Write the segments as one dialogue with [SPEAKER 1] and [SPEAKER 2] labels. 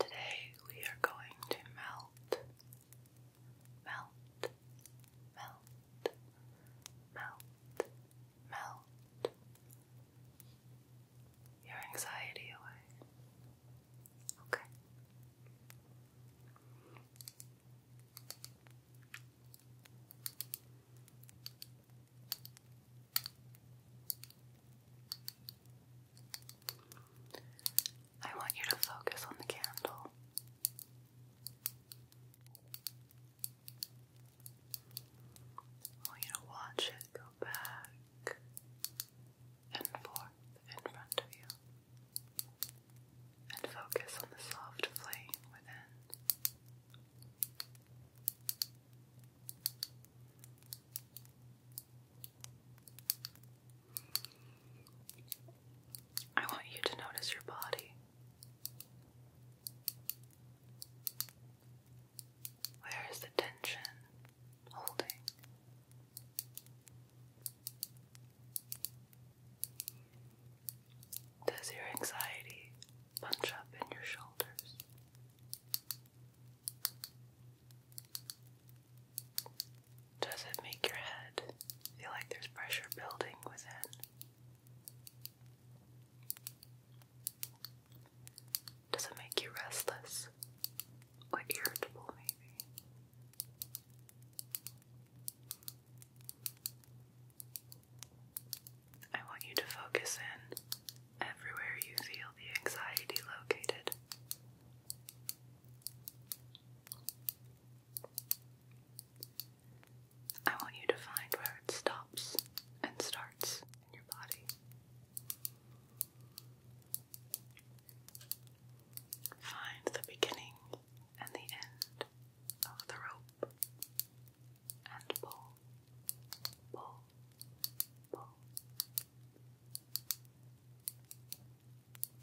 [SPEAKER 1] Today we are going to melt melt, melt, melt, melt your anxiety away. Okay. I want you to focus on the candle. want you to watch it go back and forth in front of you. And focus on the soft flame within. I want you to notice your body. Where is the tension holding? Does your anxiety bunch up in your shoulders? Does it make your head feel like there's pressure building within? Does it make you restless or irritable, maybe? I want you to focus in everywhere you feel the anxiety located. I want you to find where it stops and starts in your body. Find the beginning and the end of the rope and pull, pull, pull.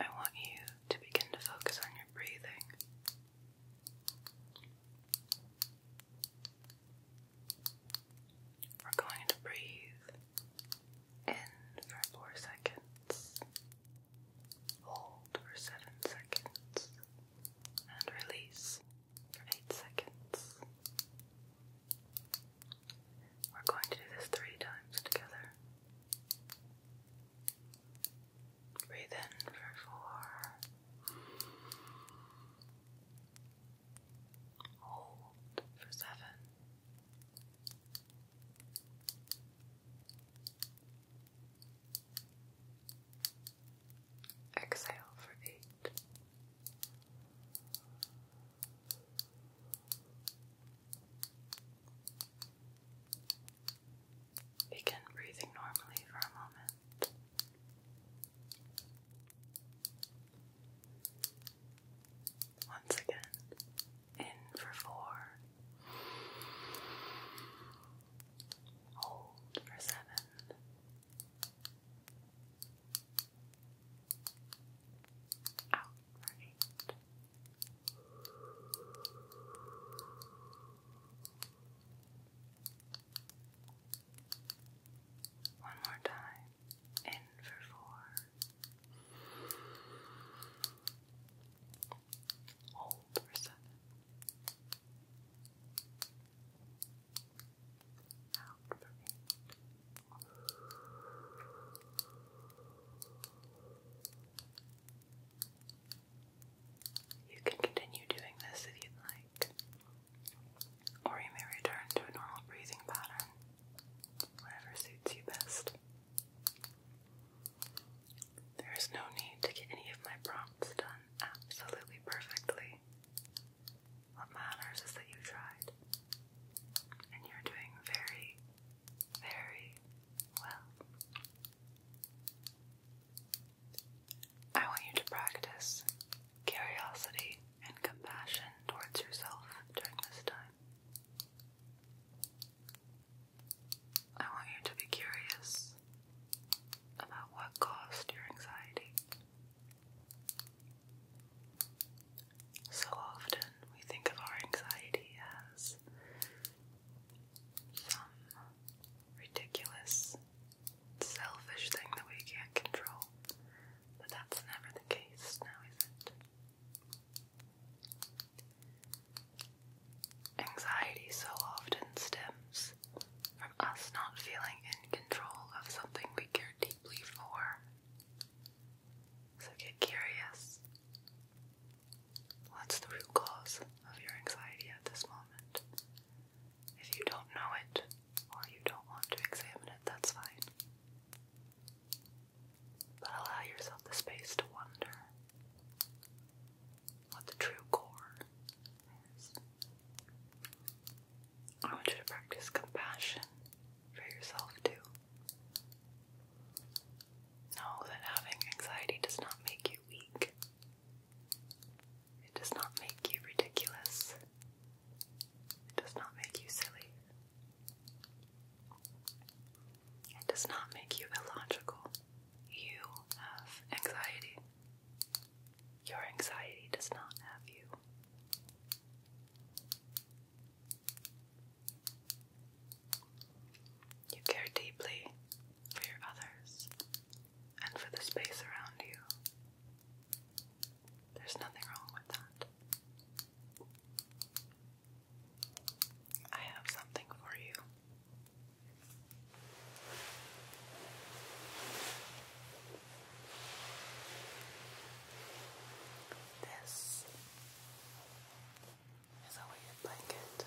[SPEAKER 1] I want you to begin to focus on your breathing. We're going to breathe in for four seconds. Hold for seven seconds. And release for eight seconds. We're going to do this three times together. Breathe in for four. Hold for seven. Exhale for eight. Begin breathing normally for a moment. Once again, in for four, hold for seven, out for eight. One more time. In for four. Hold for seven. Out for eight. You can continue doing this if you'd like, or you may return to a normal breathing pattern, whatever suits you best. There is no need to get any of my prompts done absolutely perfectly. What matters is that you tried, and you're doing very, very well. I want you to practice curiosity and compassion towards yourself during this time. I want you to be curious about what caused your anxiety. So often we think of our anxiety as some ridiculous, selfish thing that we can't control, but that's never the case now, is it? Anxiety so often stems from us not feeling in control of something we care deeply for. So get curious. What's the root cause of your anxiety at this moment? If you don't know it or you don't want to examine it, that's fine but allow yourself the space to wonder what the true core is. I want you to practice compassion for yourself too. Know that having anxiety does not make you weak. It does not make you ridiculous. It does not make you silly. It does not make you illogical. You have anxiety. Your anxiety does not have you. You care deeply for your others and for the space around you. There's nothing wrong with that. I have something for you. This is a weighted blanket.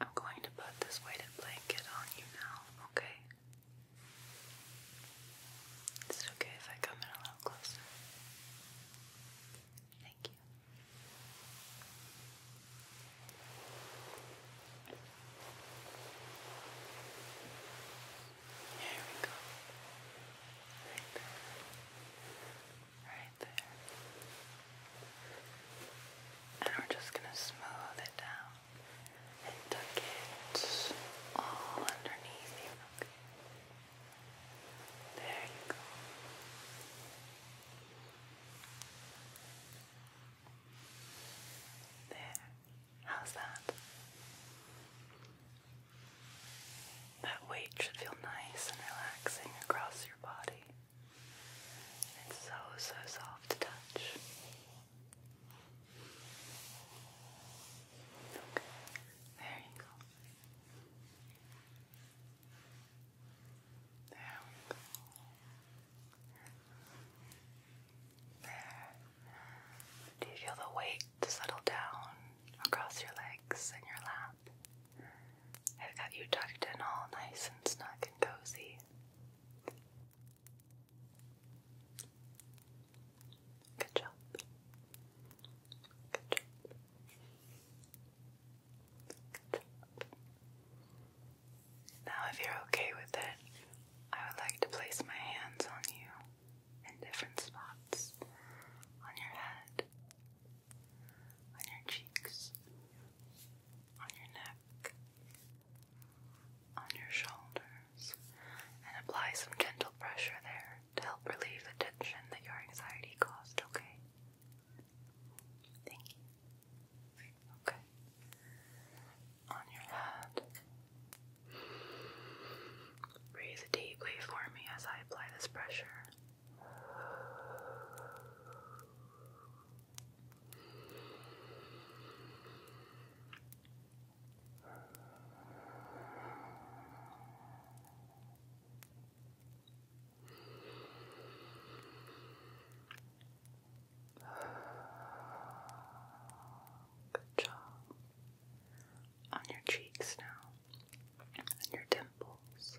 [SPEAKER 1] I'm going to put this weighted blanket on you now, okay? Is it okay if I come in a little closer? Thank you. There we go. Right there right there. And we're just going to smooth it down and tuck it all underneath you. There you go. There. How's that? That weight should feel nice and relaxing across your body. It's so, so soft to touch. there you go. There we go. There. Do you feel the weight settle down across your legs and your lap? I've got you tucked in all nice and snug and cozy. Good job. Good job. Now, if you're okay with it, I would like to place my hands on you in different spots on your head, on your cheeks, on your neck, on your shoulders, and apply some gentle pressure there to help relieve the tension that your anxiety caused, okay? Thank you. Okay. On your head. Breathe deeply for me as I apply this pressure. Good job on your cheeks now and your dimples.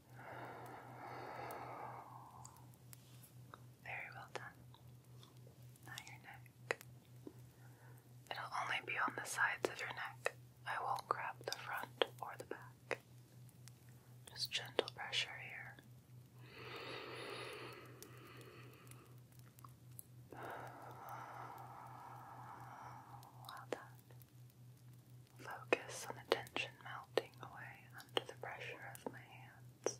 [SPEAKER 1] Very well done. Now your neck. It'll only be on the sides of your neck. I won't grab the front or the back. Just gentle pressure here. Well done. Focus on the tension away under the pressure of my hands.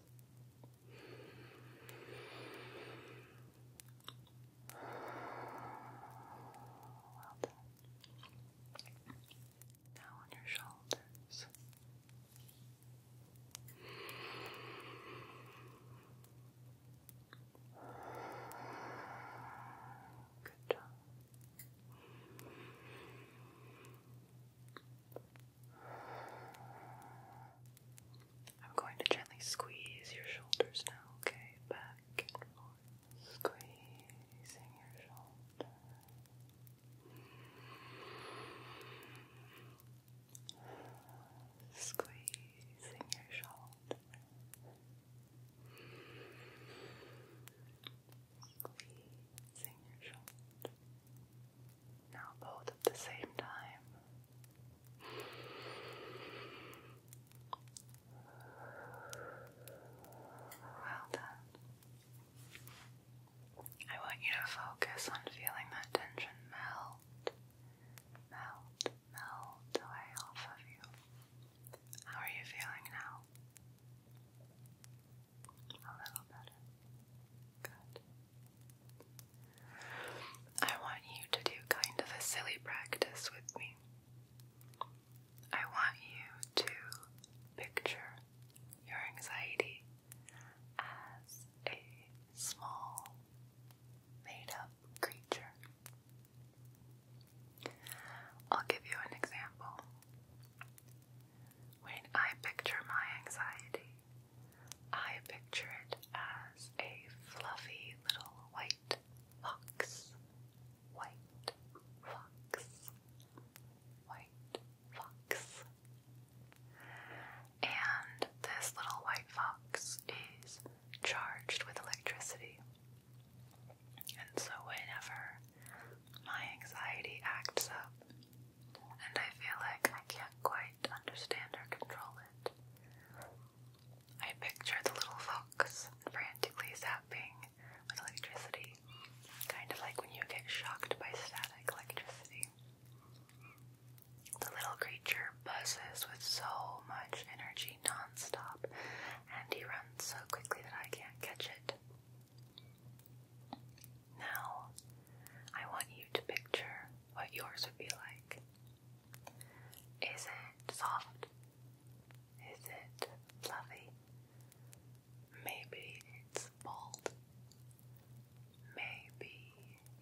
[SPEAKER 1] Well done. Now on your shoulders. Good job. I'm going to gently squeeze your shoulders now, okay? Back and forth. Squeezing your shoulders. Squeezing your shoulder squeezing your shoulders. Now both at the same time. Well done. I want you to focus on feeling that tension melt, melt, melt away off of you. How are you feeling now? A little better. Good. I want you to do kind of a silly practice with me. I want you to picture your anxiety as a small, made up creature. I'll give you an example. When I picture my anxiety, I picture it as a fluffy little white fox. White fox. White fox. And this little white fox is charged with electricity. And so, whenever my anxiety acts up, and I feel like I can't quite understand or control it. I picture the little fox frantically zapping with electricity, kind of like when you get shocked by static electricity. The little creature buzzes with so much energy non-stop, and he runs so quickly that I can't catch it. Now, I want you to picture what yours would be like. Is it soft? Is it fluffy? Maybe it's bold. Maybe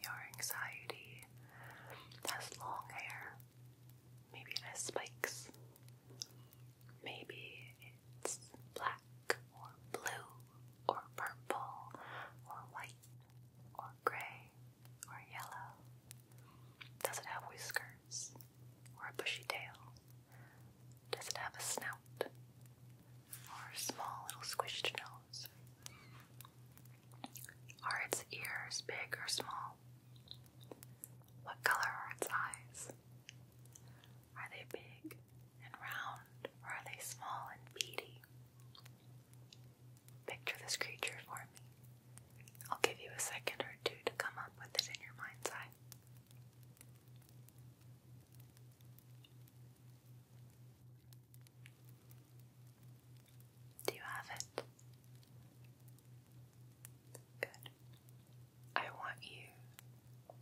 [SPEAKER 1] your anxiety has long hair. Maybe it has spikes. Maybe it's black or blue or purple or white or gray or yellow. Does it have whiskers or a bushy tail? Does it have a snout or a small little squished nose? Are its ears big or small? What color are its eyes? Are they big and round, or are they small and beady? Picture this creature for me. I'll give you a second or two to come up with it in your mind's eye. Do you have it? Good. I want you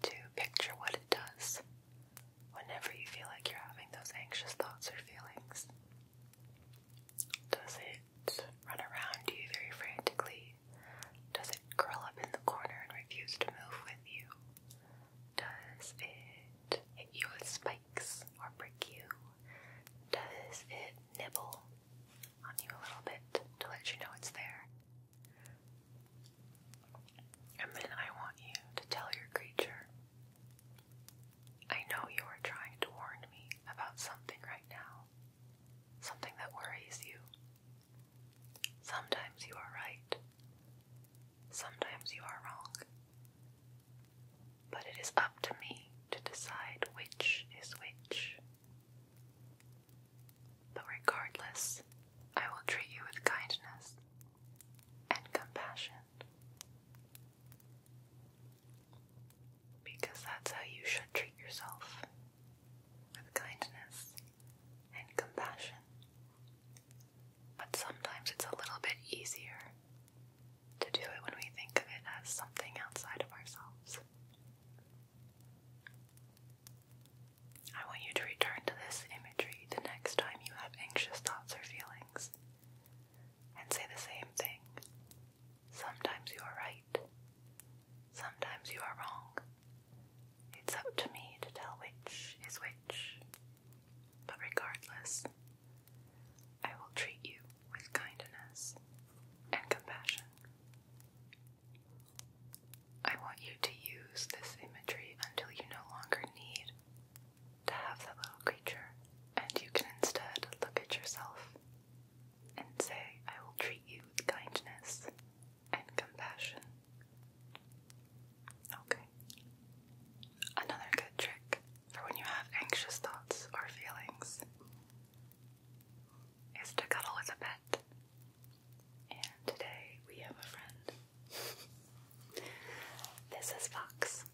[SPEAKER 1] to picture what it does whenever you feel like you're having those anxious thoughts or feelings. Does it run around you very frantically? Does it curl up in the corner and refuse to move with you? Does it hit you with spikes or prick you? Does it nibble on you a little bit to let you know it's there? And I want you to tell your creature, I know you are trying to warn me about something right now, something that worries you. Sometimes you are right, sometimes you are wrong. But it is up to me to decide which is which. But regardless, I will treat you with kindness and compassion. Because that's how you should treat yourself with kindness and compassion. But sometimes it's a little bit easier to do it when we think of it as something outside of ourselves. I want you to return to this imagery the next time you have anxious thoughts or feelings and say the same thing. Sometimes you are right, sometimes you are wrong. It's up to me to tell which is which. But regardless, I will treat you with kindness and compassion. I want you to use this imagery until you no longer need to have that little creature, and you can instead look at yourself and say, I will treat you with kindness and compassion. Okay. Another good trick for when you have anxious thoughts or feelings is to cuddle with a pet. And today we have a friend. this is Fox.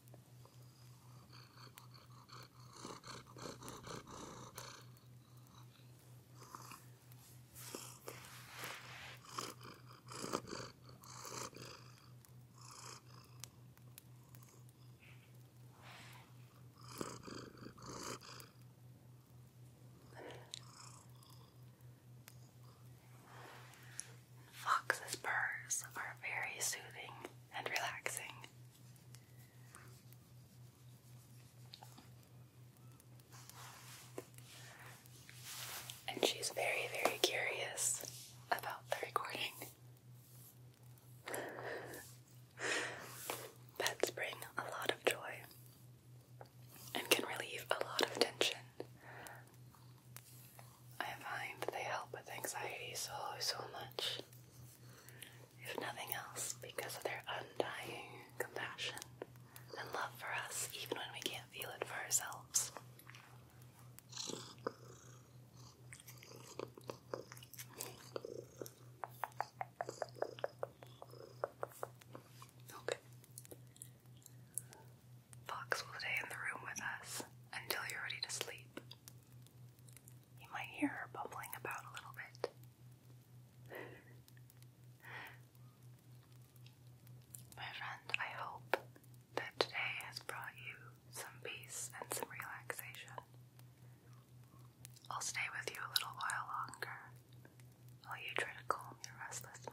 [SPEAKER 1] Foxes' purrs are very soothing and relaxing. And she's very, very curious about the recording. Pets bring a lot of joy and can relieve a lot of tension. I find they help with anxiety so, so much, if nothing else, because of their undying compassion and love for us, even when we can't feel it for ourselves. Okay. Fox will stay in the room with us until you're ready to sleep. You might hear her bumbling about a little bit. My friend, I hope that today has brought you some peace and some relaxation. I'll stay with you a little while longer while oh, you try to calm your restless mind.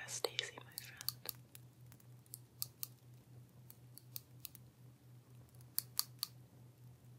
[SPEAKER 1] Rest easy, my friend.